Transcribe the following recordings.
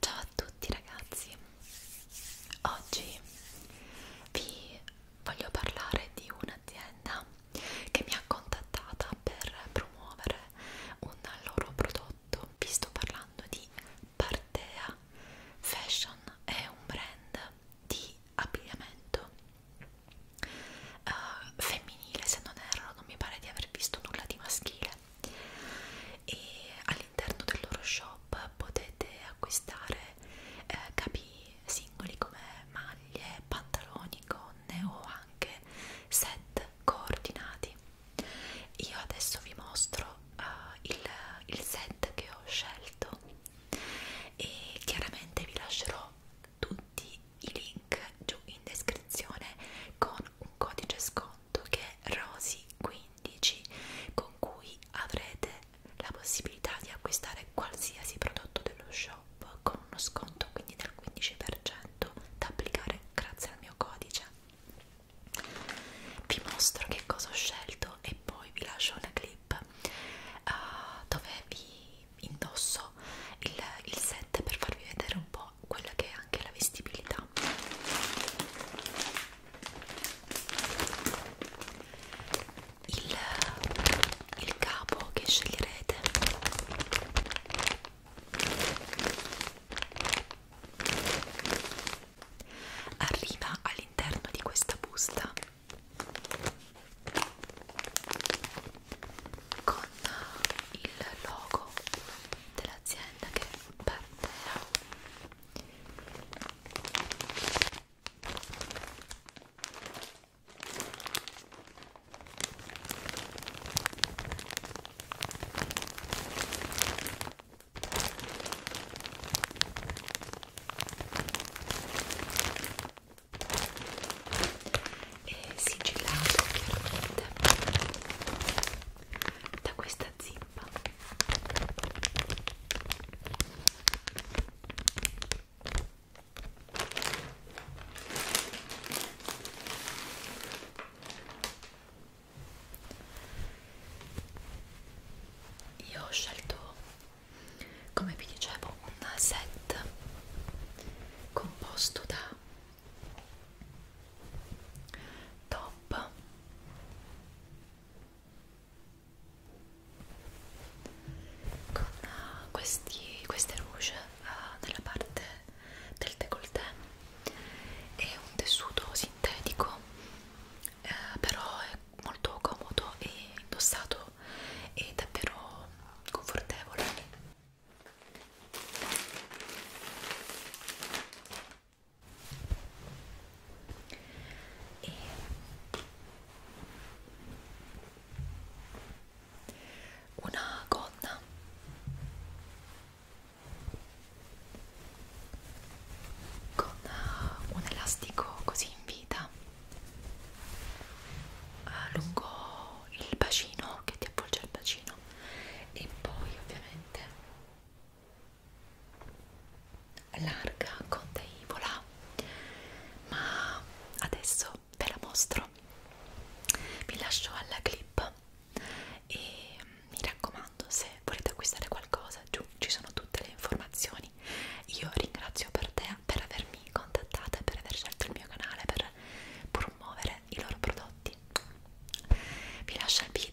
Ciao a tutti ragazzi, oggi vi voglio parlare di un'azienda che mi ha contattata per promuovere un loro prodotto. Vi sto parlando di Partea Fashion, è un brand di abbigliamento uh, femminile femminile, se non erro, non mi pare di aver visto nulla di maschile. E all'interno del loro shop potete acquistare eh, capi singoli come maglie, pantaloni, gonne o anche set coordinati. Io adesso vi mostro uh, il, il set che ho scelto e chiaramente vi lascerò tutti i link giù in descrizione con un codice sconto che è ROSY15 con cui avrete la possibilità di acquistare qualsiasi prodotto dello shop con uno sconto quindi del 15% da applicare grazie al mio codice vi mostro che cosa ho scelto e poi vi lascio una clip uh, dove vi indosso il, il set per farvi vedere un po' quella che è anche la vestibilità il, il capo che sceglierete arriva all'interno di questa busta con il logo dell'azienda che parterà e sigillato chiaramente da questa zippa io ho scelto come vi dicevo un set composto da top con uh, questi, queste rouge uh, nella parte del décolleté è un tessuto sintetico eh, però è molto comodo e indossato è davvero confortevole e una gonna con un elastico così in vita eh, lungo il bacino che ti avvolge il bacino e poi ovviamente larga contaivola ma adesso ve la mostro vi lascio alla clip e mm, mi raccomando se volete acquistare qualcosa giù ci sono tutte le informazioni io ringrazio per te per avermi mi contattate per aver scelto il mio canale per promuovere i loro prodotti. Vi lascio il video.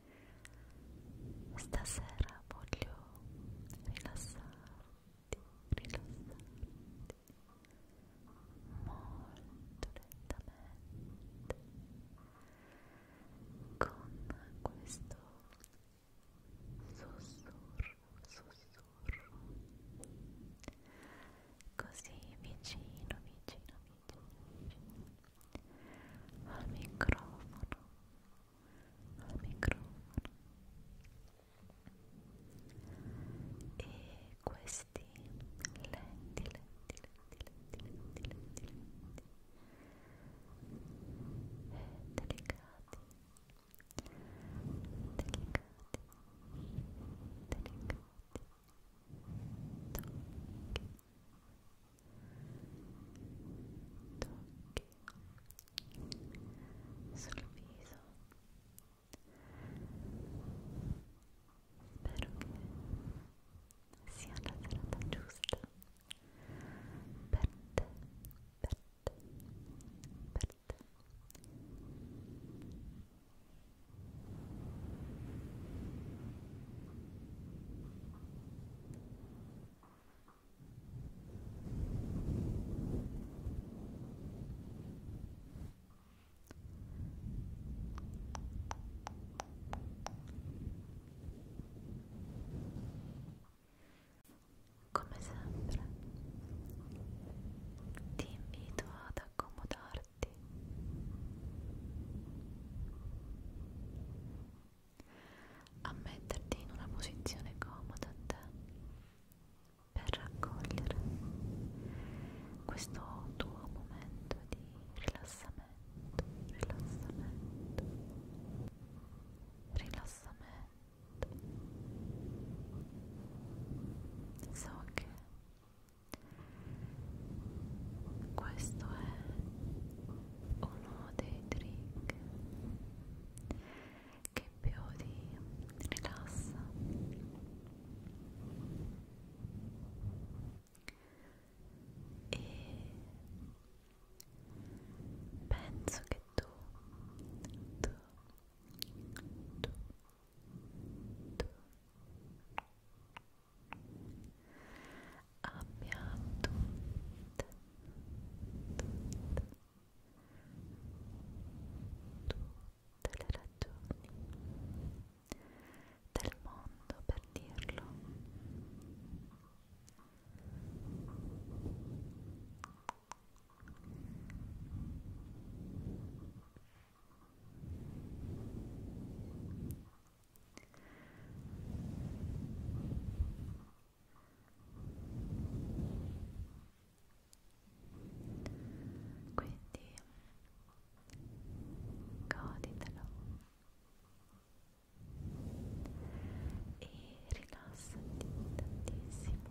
Stasera voglio rilassarti, rilassarti molto lentamente con questo sussurro, sussurro così vicino, vicino, vicino, al microfono al microfono e questi lenti lenti lenti lenti lenti lenti lenti eh, delicati delicati delicati tocchi tocchi sul viso spero che sia la serata giusta per te, per te, per te Buonanotte come sempre ti invito ad accomodarti a metterti in una posizione comoda a te per raccogliere questo tuo momento di rilassamento, rilassamento, rilassamento. So che questo è uno dei trick che più ti rilassa e penso che tu tu tu tu tu abbia tutte, tutte, tutte le ragioni del mondo per dirlo quindi goditelo e rilassati tantissimo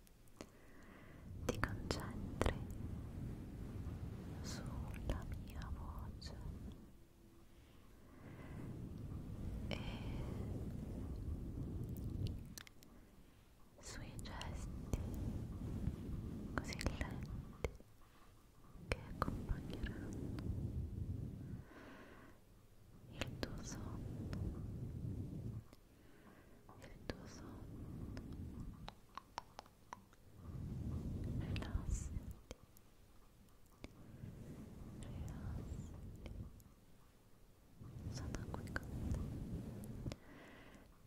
ti concentri sulla mia voce e sui gesti così lenti che accompagneranno il tuo sonno del tuo sonno rilassati rilassati sono qui con te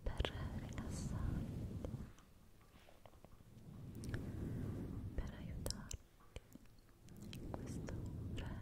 per rilassarti per aiutarti in questo relax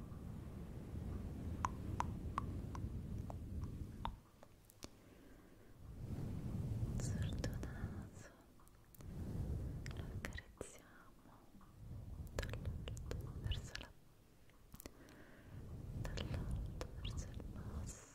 sul tuo naso lo accarezziamo dall'alto verso la dall'alto verso il basso e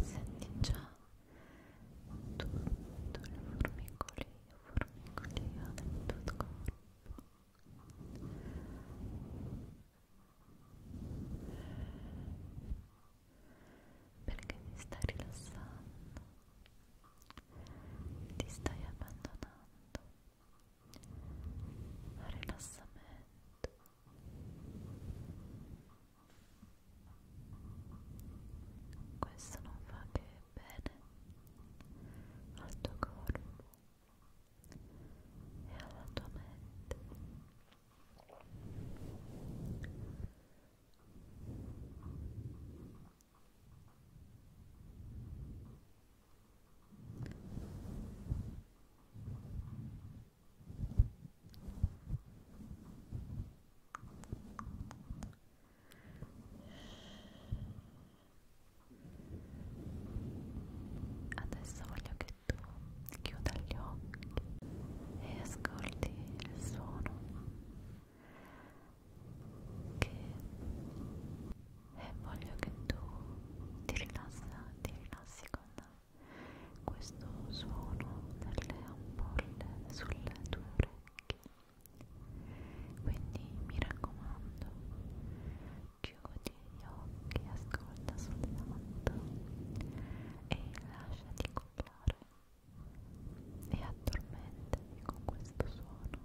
Senti già tutto il formicolio, formicolio del tuo corpo. Perché ti stai rilassando, ti stai abbandonando rilassamento questo non fa che bene al tuo corpo e alla tua mente Adesso voglio che tu chiuda gli occhi e ascolti il suono che e voglio che tu ti rilassa, ti rilassi con questo suono delle ampolle sulle tue orecchie quindi mi raccomando chiudi gli occhi ascolta soltanto e lasciati cullare e addormentati con questo suono